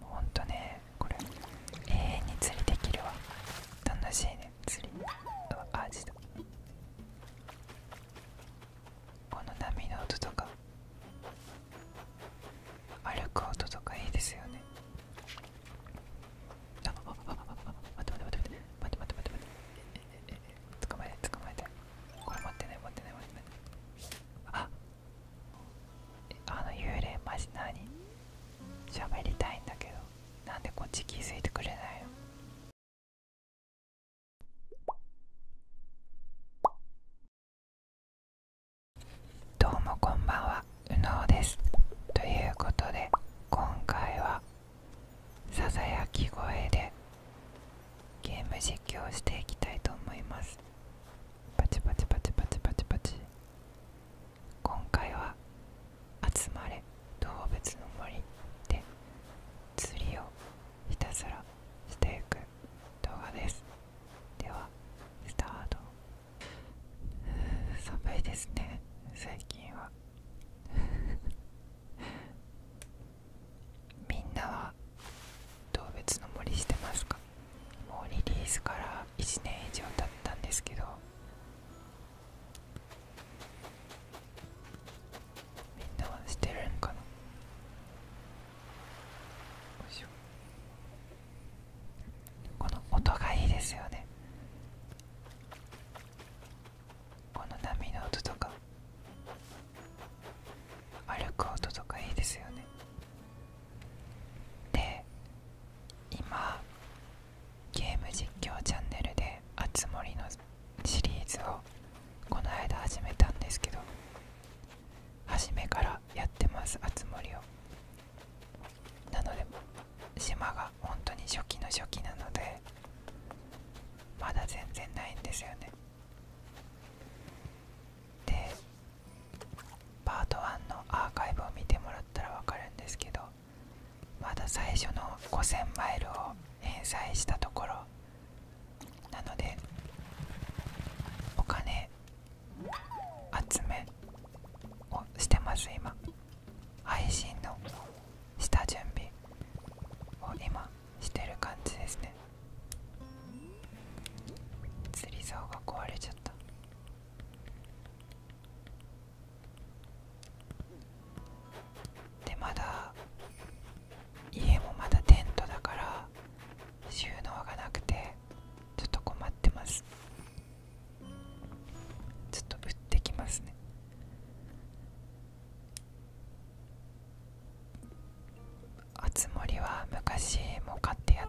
ほんとねこれ永遠に釣りできるわ楽しいね釣りあアジト。この波の音とか歩く音とかいいですよねああああ待って待って待って待って待って待って待って捕まえて捕まえてこれ持ってない持ってない持ってないああの幽霊マジ何喋りたいんだけどなんでこっち気づいてくれないのどうもこんばんはうのうですということで今回はささやき声でゲーム実況していきたいと思いますパチパチパチパチパチパチ今回は「集まれ動物の森」で釣りをひたすらしていく動画ですではスタート寒いですね最近は みんなは動物の森してますかもうリリースから1年以上経ったんですけどみんなはしてるんかなこの音がいいですよねこの波の音とか歩く音とかいいですよねで今ゲーム実況チャンネルで「あつ森」のシリーズをこの間始めたんですけど初めからやってますあつ森をなので島が本当に初期の初期なのでまだ全然ないんですよねでパート1のアーカイブを見てもらったら分かるんですけどまだ最初の5000マイルを返済したところなのでお金集めをしてます今配信の下準備を今してる感じですね釣り竿が壊れちゃったでまだ家もまだテントだから収納がなくてちょっと困ってますちょっと売ってきますねあつ森は昔も買ってやっ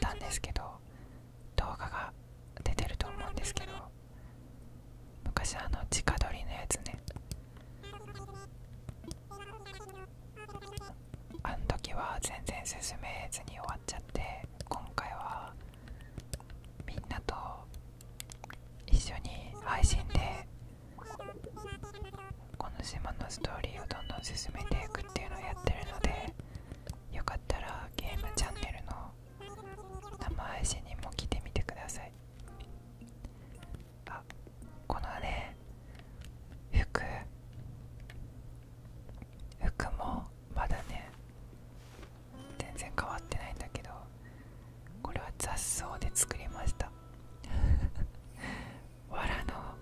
たんですけど動画が出てると思うんですけど昔あの直撮りのやつねあの時は全然進めずに終わっちゃって今回はみんなと一緒に配信でこの島のストーリーをどんどん進めていくっていうのをやってるのでよかったらゲームチャンネルの生配信にも来てみてくださいあこのね服服もまだね全然変わってないんだけどこれは雑草で作りましたわらの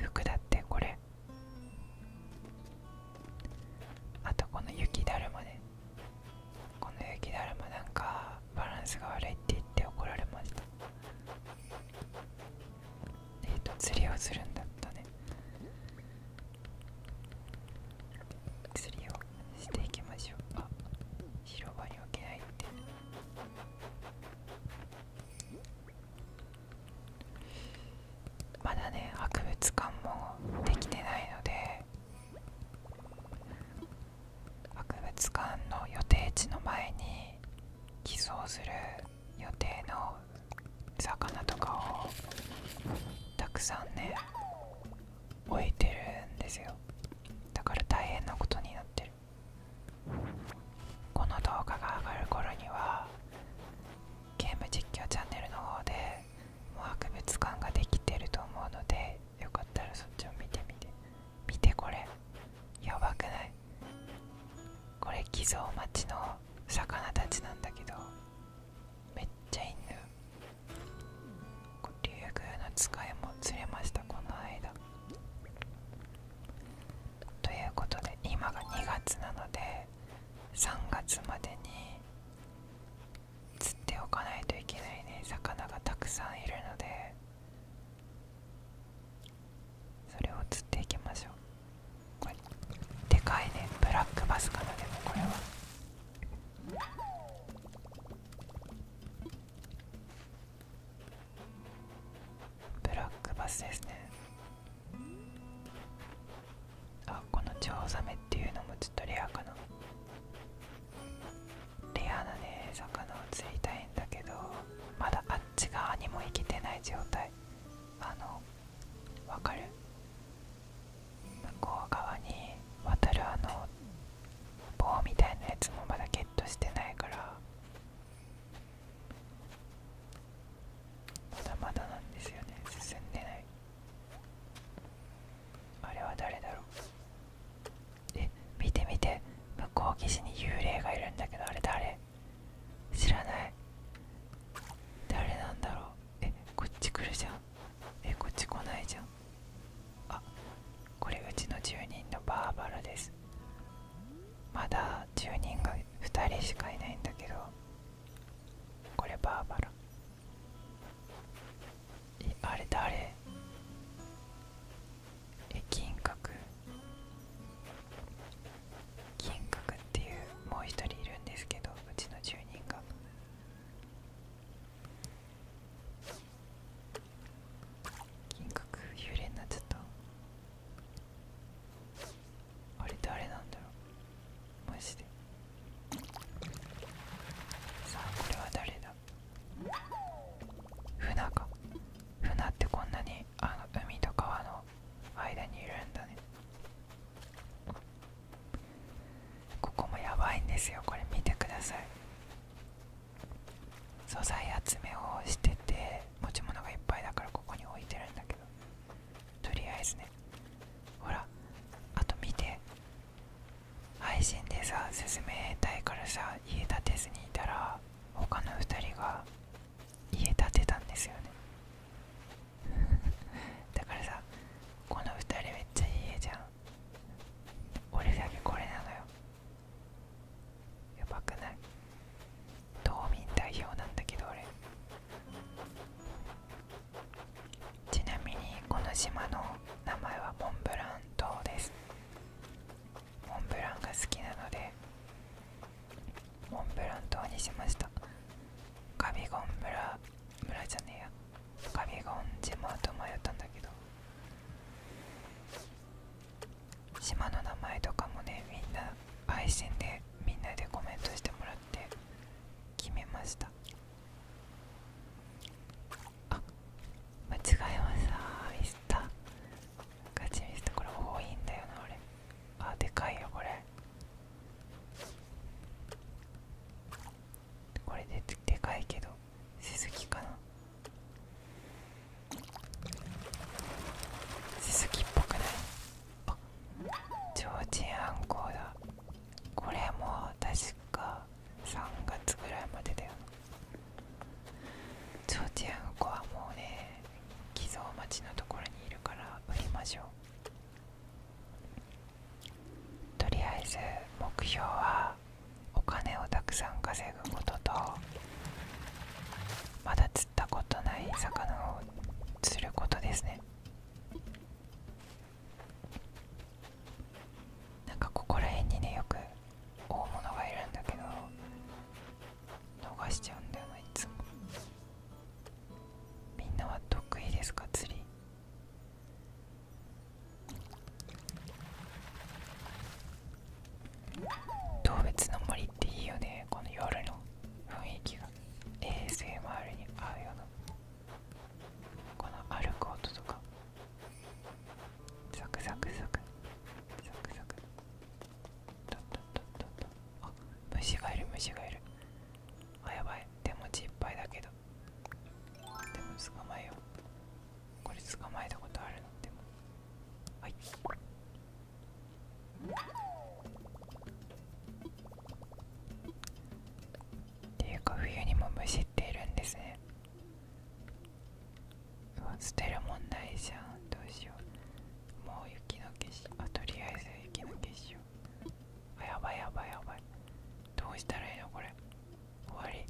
服だってこれあとこの雪だるまねこの雪だるまなんかバランスが悪いって言って怒られましたえっ、と釣りをするんだったね釣りをしていきましょうか。広場に置けないってまだね博物館もできてないので博物館の予定地の前に寄贈する予定の魚とかをたくさんね置いてるんですよだから大変なことになっこの動画が上がる頃にはゲーム実況チャンネルの方でもう博物館ができてると思うのでよかったらそっちを見てみて見てこれやばくないこれ偽造町の魚たちなんだけどめっちゃ犬竜宮の使いも釣れましたこの間ということで今が2月なので3月までに釣っておかないといけないね魚がたくさんいるのでそれを釣っていきましょうでかいねブラックバスかなでもこれは。ブラックバスですねあこのチョウザメっていうのもちょっとレアかなレアなね魚を釣りたいんだけどまだあっち側にも行けてない状態あのわかる向こう側に渡るあの棒みたいなやつもまだゲットしてないからまだまだなんですよね進んでないあれは誰だろうえ見て見て向こう岸に幽霊がいるんだけどあれ誰知らない誰なんだろうえこっち来るじゃんえこっち来ないじゃんあこれうちの住人のバーバラですまだ1人が2人しかいないんだけどこれバーバラえあれ誰え金閣金閣っていうもう一人いるんですけどうちの住人が金閣幽霊になっちゃったあれ誰なんだろうマジでさあこれは誰だ船か船ってこんなにあの海と川の間にいるんだねここもやばいんですよこれ見てください素材集めをしてて持ち物がいっぱいだからここに置いてるんだけどとりあえずねほらあと見て配信でさ進めたいからさ家建てずにいたら他の2人が家建てたんですよね だからさこの2人めっちゃいいじゃん俺だけこれなのよやばくない島民代表なんだけど俺ちなみにこの島の名前はモンブラン島ですモンブランが好きなのでモンブラン島にしましたカビゴン村村じゃねえやカビゴン島と迷ったんだけど島の名前とかもねみんな配信でみんなでコメントしてもらって決めましたあ間違えましたミスったガチミスったこれ多いんだよな俺あでかいよこれこれででかいけどスズキかなススキっぽくないあちょうちんあんこうだこれも確か3月ぐらいまでだよちょうちんあんこはもうね寄贈町のところにいるから売りましょうとりあえず目標はお金をたくさん稼ぐこととまだ釣ったことない魚を釣ることですねなんかここら辺にねよく大物がいるんだけど逃しちゃうんだよないつもみんなは得意ですか釣り動物の森っていいよねこの夜の雰囲気が衛 s m りに合うようなこの歩く音とかサクサクサクサクサクトントントントトンあ虫がいる虫がいるあやばい手持ちいっぱいだけどでも捕まえようこれ捕まえたことあるのでもはいていうか冬にも虫っているんですねう捨てるもんじゃんどうしようもう雪の結晶あとりあえず雪の結晶あやばいやばいやばいどうしたらいいのこれ終わり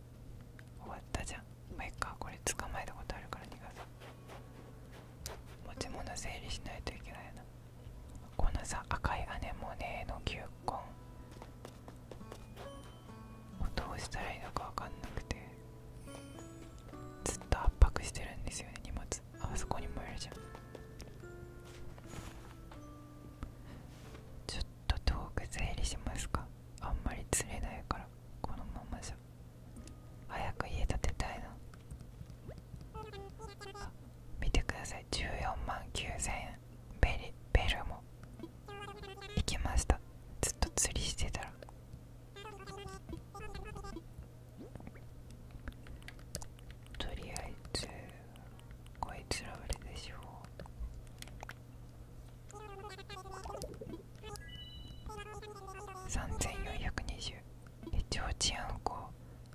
終わったじゃんまあいっかこれ捕まえたことあるから逃がさ。持ち物整理しないといけないなこのさ赤い姉もね、ネの球根どうしたらいいのかわかんなくてずっと圧迫してるんですよね荷物あそこにもいるじゃんちょっと遠く整理しますかあんまり釣れないからこのままじゃ早く家建てたいな。見てください14万9000円ベリベルも行きましたずっと釣りしてたらとりあえずこいつらあれでしょう3420えちょうちあんこ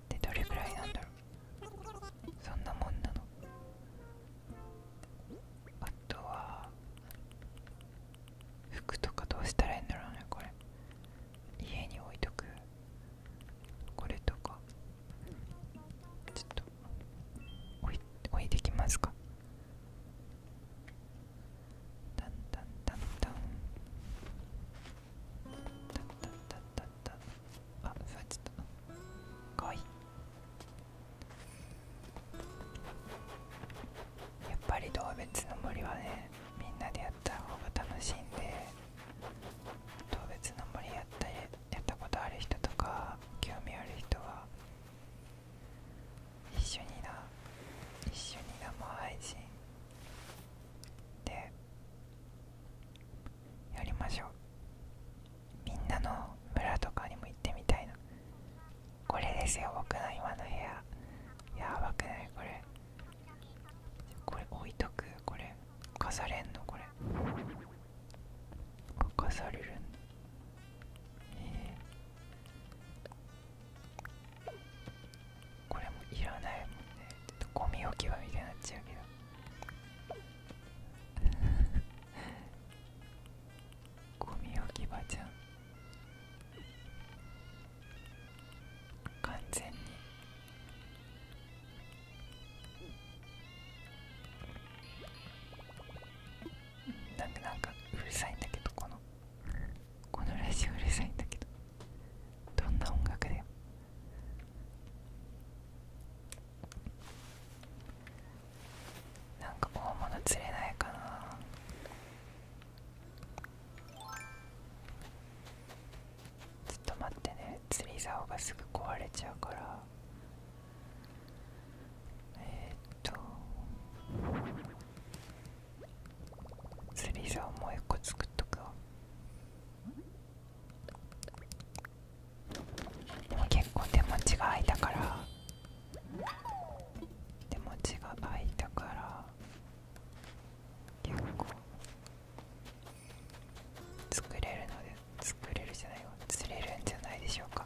ってどれぐらいなんだろうそんなもんなのあとは服とかどうしたらいいんだろうねこれ家に置いとくこれとかちょっと置いてきますかタンタンタンタンタンタンタンタンタンあっ座っちょっと。かわいいやっぱり動物の森はねみんなでやった方が楽しいんで動物の森やったやったことある人とか興味ある人は一緒にな一緒にな、生配信でやりましょうみんなの村とかにも行ってみたいなこれですよ僕の今の部屋やばくないこれこれ置いとくこれされんのこれされるんえこれもいらないもんねちょっとゴミ置き場みたいになっちゃうけど ゴミ置き場じゃん完全になんでなんかうるさいんだけどこのこのラジオうるさいんだけどどんな音楽だよなんか大物釣れないかなちょっと待ってね釣り竿がすぐ壊れちゃうからえっと釣り竿もう一個作っとくわでも結構手持ちが空いたから手持ちが空いたから結構作れるので作れるじゃないよ釣れるんじゃないでしょうか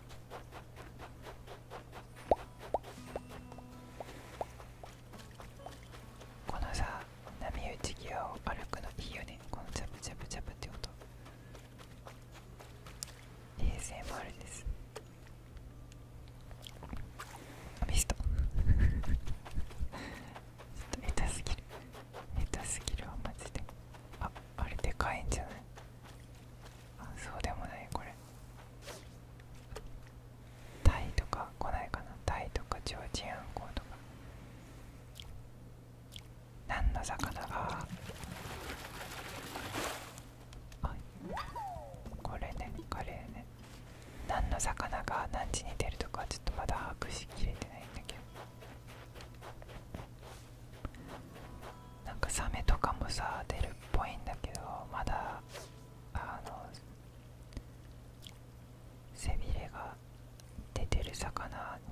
このさ波打ち際を歩くのいいよねこのチャプチャプチャプって音 a もあ r ですミスト ちょっと下手すぎる下手すぎるわマジでああれでかいんじゃないそうでもないこれタイとか来ないかなタイとかチョウチンアンコウとか何の魚があこれねカレーね何の魚が何時に出るとかちょっとまだ把握しきれてないんだけどなんかサメとかもさ出るっぽいんだけどまだあの背びれが出てる魚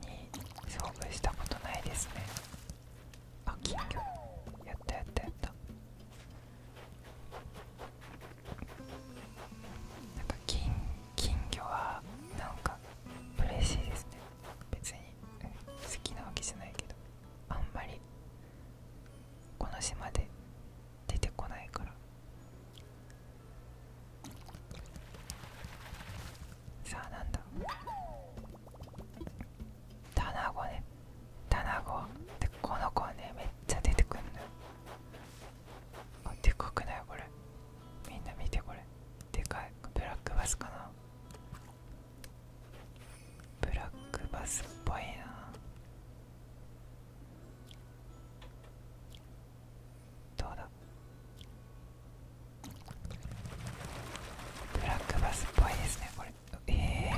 に遭遇したことないですねあ金魚やったやったやったなんか金金魚はなんか嬉しいですね別に、好きなわけじゃないけどあんまりこの島で出てこないからさあなんだ卵ね卵でこの子ねめっちゃ出てくんのあでかくないこれみんな見てこれでかいブラックバスかなブラックバスっぽいなどうだブラックバスっぽいですねこれええ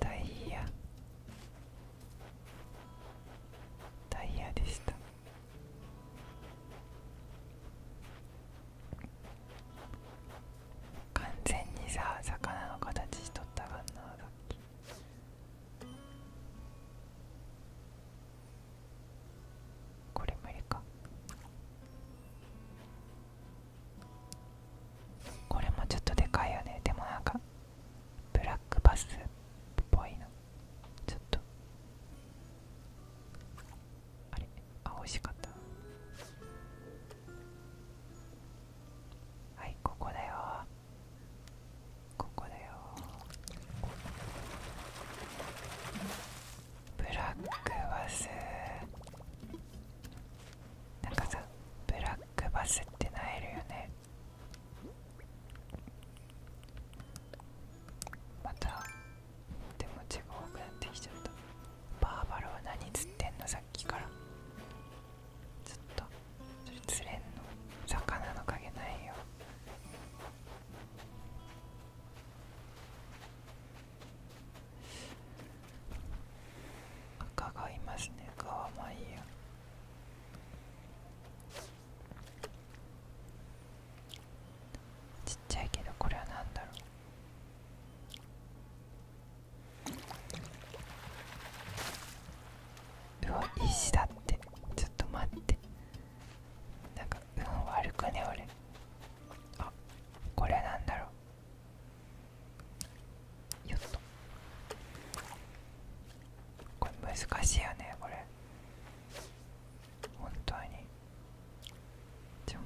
ダイヤダイヤでした完全にさ魚の形しとったがんなさっきこれ無理かこれもちょっとでかいよねでもなんかブラックバスっぽいなちょっとあれあ美しかったはいここだよここだよブラックバスなんかさブラックバスってなえるよねまたでもちが多くなってきちゃったバーバラは何釣ってんのさっきからずっとそれ釣れんの魚の影ないよ赤がいますね赤はまあいいやちっちゃいけどこれは何だろううわ石だってちょっと待ってなんかうん、悪くね俺あこれなんだろうよっとこれ難しいよねこれ本当にじゃん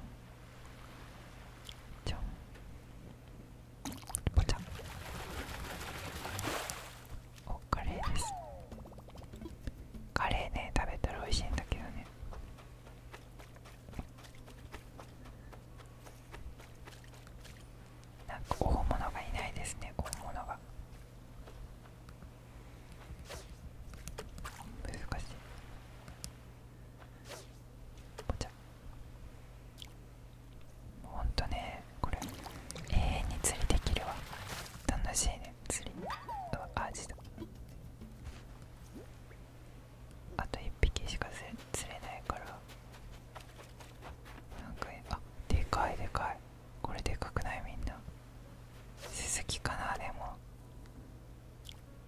じゃんポチおカレーですカレーね食べたら美味しいんだけどねなんか本物がいないですね本物が難しいお茶。したほんとねこれ永遠に釣りできるわ楽しいね釣りあアだあと1匹しか釣れないからなかあでかいでかいこれでかくないみんなススキかなでも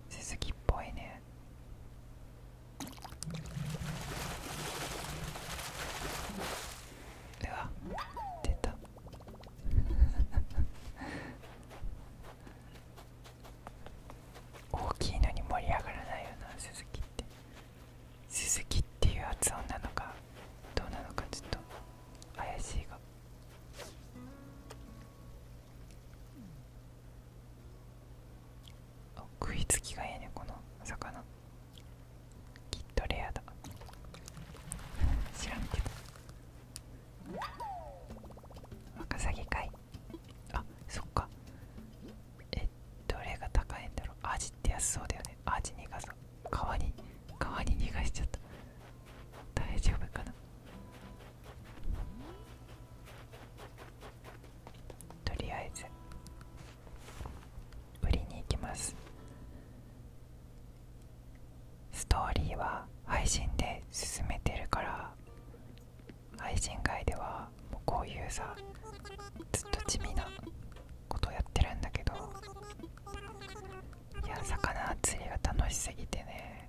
鈴木っぽいねうわ出た 大きいのに盛り上がらないよな鈴木って鈴木っていう発音なのかどうなのかちょっと怪しいがあ食いつきがええねこの魚きっとレアだ調べて。けワカサギかいあそっかえどれが高いんだろうアジって安そうだよねアジ逃がそう川に川に逃がしちゃった大丈夫かなとりあえず売りに行きますストーリーは配信で進めてるから配信外ではもうこういうさずっと地味なことやってるんだけどいや魚釣りが楽しすぎてね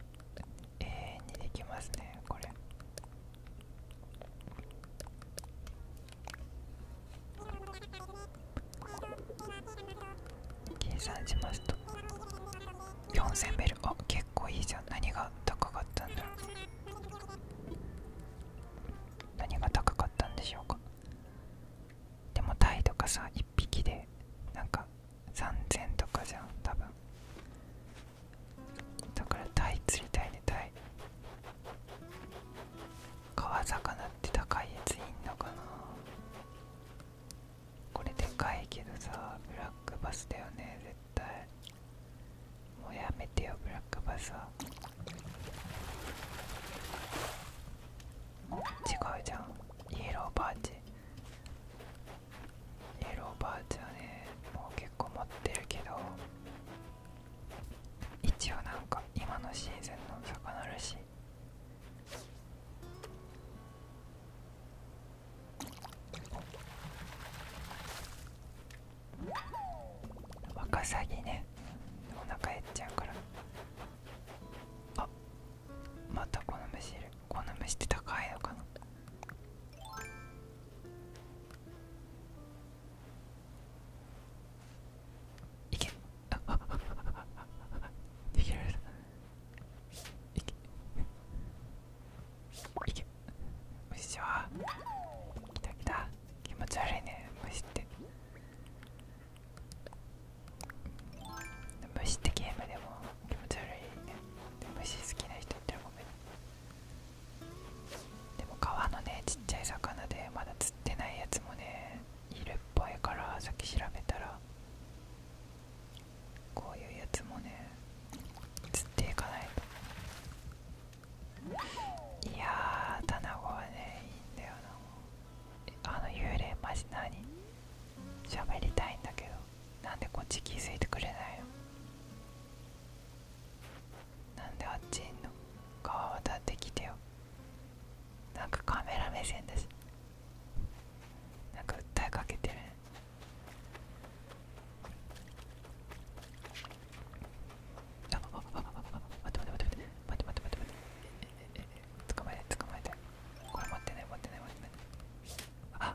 永遠にできますねこれ計算しますと4000ベルあ結構いいじゃん何が高かったんだろう。何が高かったんでしょうかでもタイとかさ1匹でなんか3000とかじゃん多分だからタイ釣りたいねタイ川魚って高いやついんのかなこれでかいけどさブラックバスだよね絶対もうやめてよブラックバスは違うじゃんイエローパーチイエローバーツはねもう結構持ってるけど一応なんか今のシーズンの魚らしいワカサギねお腹減っちゃうからあまたこの虫いるこの虫って高いのかないけあああ逃げられたいけいけ虫はきたきた気持ち悪いね虫って虫ってゲームでも気持ち悪いねで虫好きな人ってもでも川のねちっちゃい魚でまだ釣ってないやつもねいるっぽいから先調べたらこういうやつもね釣っていかないといやあ、卵はねいいんだよなあの幽霊マジ何喋りたいんだけどなんでこっち気づいてくれないのなんであっちの川渡ってきてよなんかカメラ目線だしなんか訴えかけてるあっあっあっあっ待って待って待って待って待って待って待って捕まえて捕まえてこれ持ってない持ってない持ってないあっ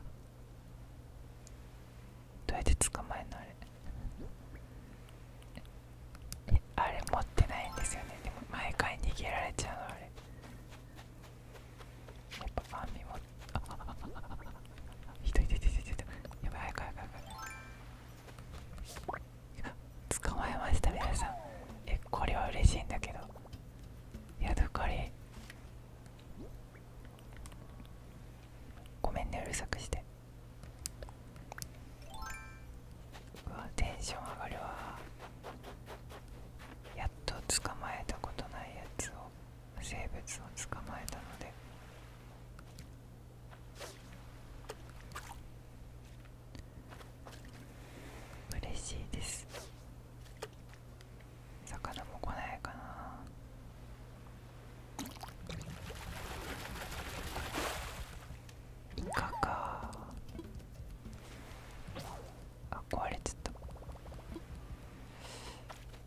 どうやって捕まえんのあれあれ持ってないんですよねでも毎回逃げられちゃうのあれやっぱ網もあああああひどいひっいひどいひどいやばい早く早く早く捕まえました皆さんえこれは嬉しいんだけどヤドカリごめんねうるさくしてうわテンション上がるわやっと捕まえたことないやつを生物を捕まえたので嬉しいです魚も来ないかなイカかあ壊れちゃっ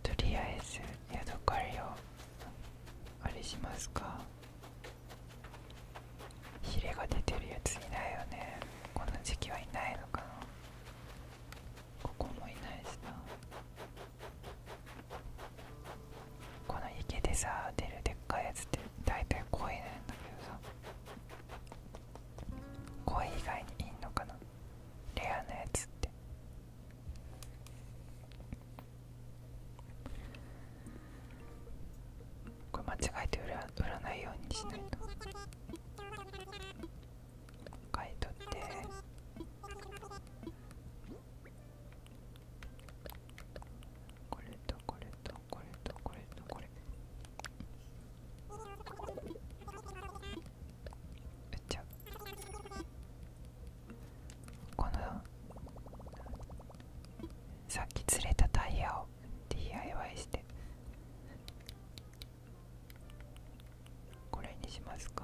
たとりあえず宿かりをあれしますかヒレが出てるやついないよねこの時期はいないのかなここもいないしなこの池でさ出るでっかいやつって大体鯉なんだけどさ鯉以外にいんのかなレアなやつってこれ間違えて売ら売らないようにしないと。買い取ってこれとこれとこれとこれとこれ売っちゃうこのさっき釣れたタイヤを DIY してこれにしますか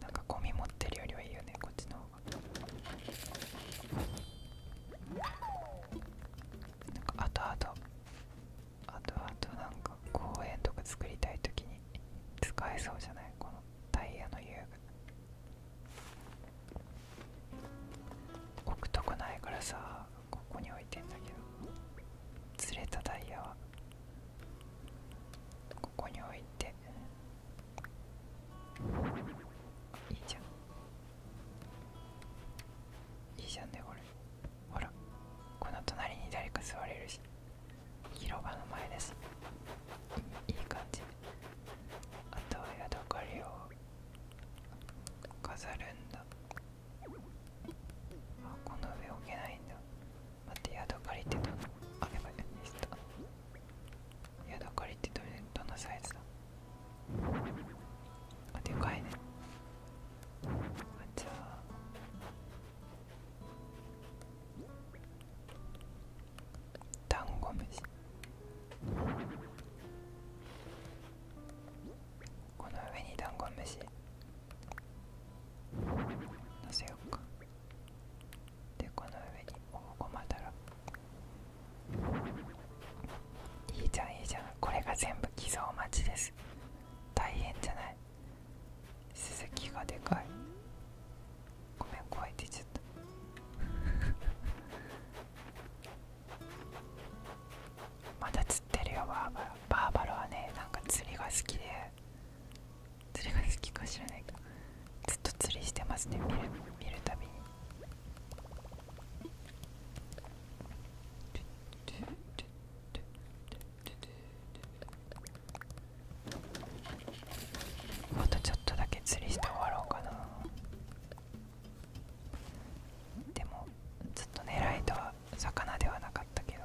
なんかゴミ持ってるよりはいいよねこっちの方がなんか後々。後々あなんか公園とか作りたい時に使えそうじゃないこのタイヤの遊具置くとこないからさここに置いてんだけどずれたダイヤはここに置いていいじゃんいいじゃんねこれほらこの隣に誰か座れるし広場の前ですいい感じあとは宿ドりリを飾るんだあこの上置けないんだ待って宿借りてどあればいミスった宿借りってどれどんなサイズだあでかいねあじゃあダンゴムシこの上にダンゴムシのせようかでこの上にオこまマダいいじゃんいいじゃんこれが全部偽造待ちです大変じゃない鈴木がでかいごめん怖いって言っちゃったこまだ釣ってるよバーバラバーバラはねなんか釣りが好きで釣りが好きか知らないけどずっと釣りしてますね見る見るたびにあとちょっとだけ釣りして終わろうかなでもずっと狙いとは魚ではなかったけど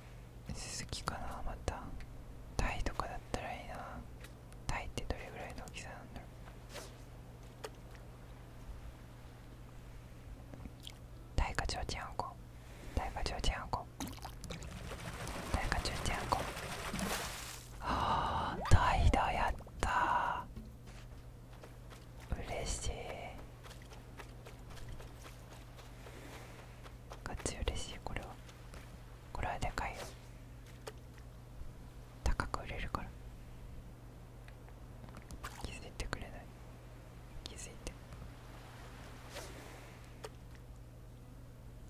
スズキかなまたタイとかだったらいいなタイってどれぐらいの大きさなんだろうタイかちょうちんあんこタイかちょうちんあんこタイかちょうちんあんこあータイだやった嬉しいガッ嬉しいこれはこれはでかいよ高く売れるから気づいてくれない気づいて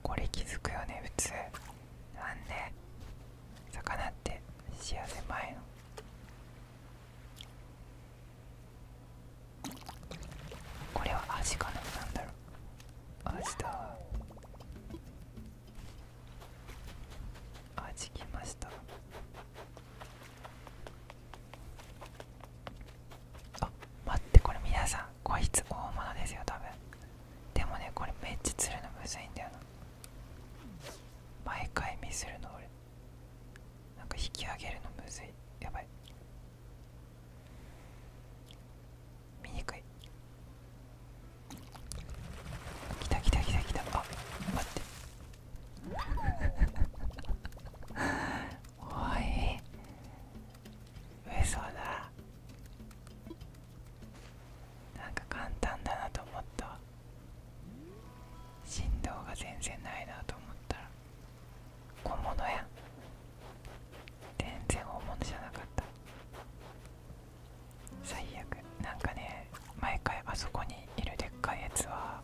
これ気づくよね普通なんで魚って幸せ前のこれは味かななんだろう味だ味きましたあ待ってこれ皆さんこいつ大物ですよ多分でもねこれめっちゃ釣るのむずいんだよな毎回ミスるの俺なんか引き上げるのむずいやばい見にくい来た来た来た来たあ待って おい上そうだなんか簡単だなと思った振動が全然ないなと思ったら本物や全然本物じゃなかった最悪なんかね毎回あそこにいるでっかいやつは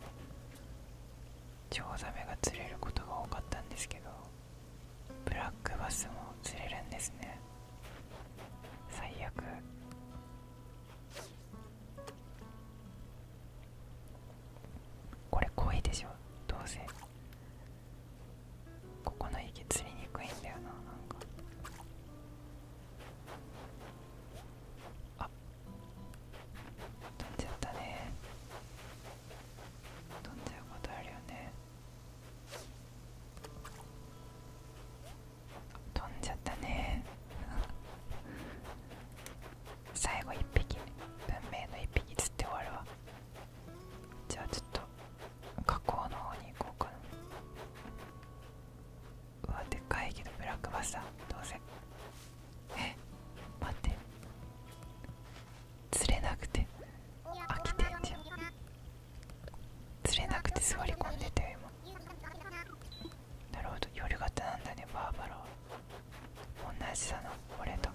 チョウザメが釣れることが多かったんですけどブラックバスも釣れるんですね最悪これ濃いでしょどうせここの池釣りにくいんだよななんかあ飛んじゃったね飛んじゃうことあるよね飛んじゃったね最後1匹文明の1匹釣って終わるわじゃあちょっと河口の方に行こうかなうわでかいけどブラックバスだどうせえ待って釣れなくて飽きてんじゃん釣れなくて座り込んでたよ今なるほど夜型なんだねバーバラは同じだな俺と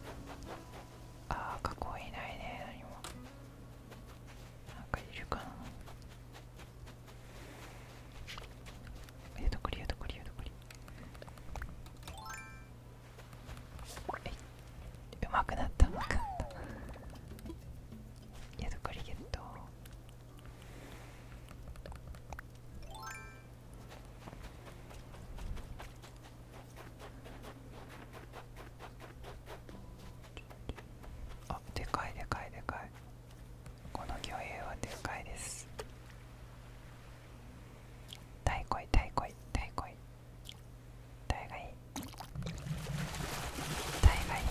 ああ過去いないね何もなんかいるかなや、どこりよどこりよどこりうまくなったうまくなったヤドこり、ゲットあでかいでかいでかいこの魚影はでかいです太鼓い太鼓い太鼓い太がいい太がいい太がいいよ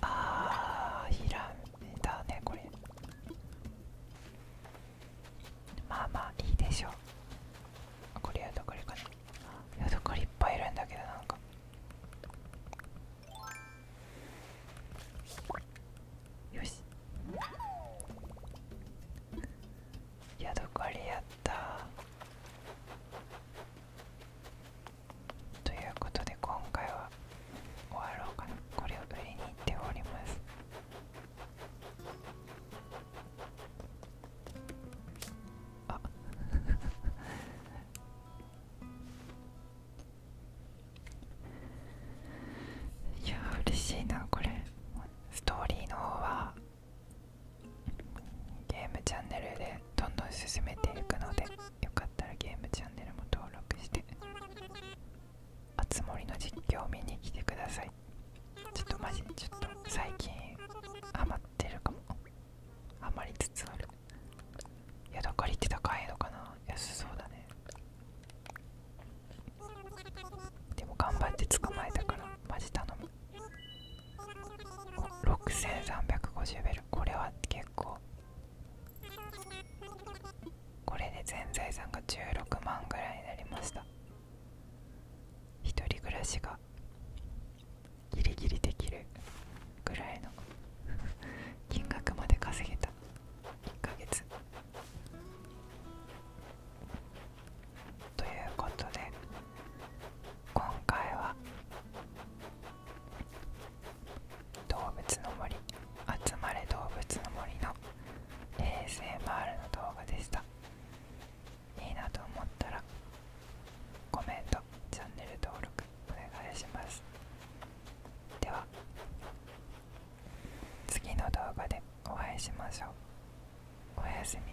ああひらめだねこれまあまあいいでしょうあこれヤドカリかなヤドカリいっぱいいるんだけどなんかよしヤドカリやったということで今回は終わろうかなこれを売りに行っておりますあ いや嬉しいなこれストーリーの方はゲームチャンネルでどんどん進めていくのでよかったらゲームチャンネルも登録してあつ森の実況を見に来てくださいちょっとマジでちょっと最近ハマってるかもハマりつつあるヤドカリって高いのかな安そうだねでも頑張って捕まえたからマジ頼む6350ベルこれは結構これで全財産が16万ぐらいになりました一人暮らしがギリギリできるぐらいの 金額まで稼げた1ヶ月ということで今回は動物の森集まれ動物の森の ASMR の動画でしたいいなと思ったらコメントチャンネル登録お願いしますでは次の動画でお会いしましょうおやすみ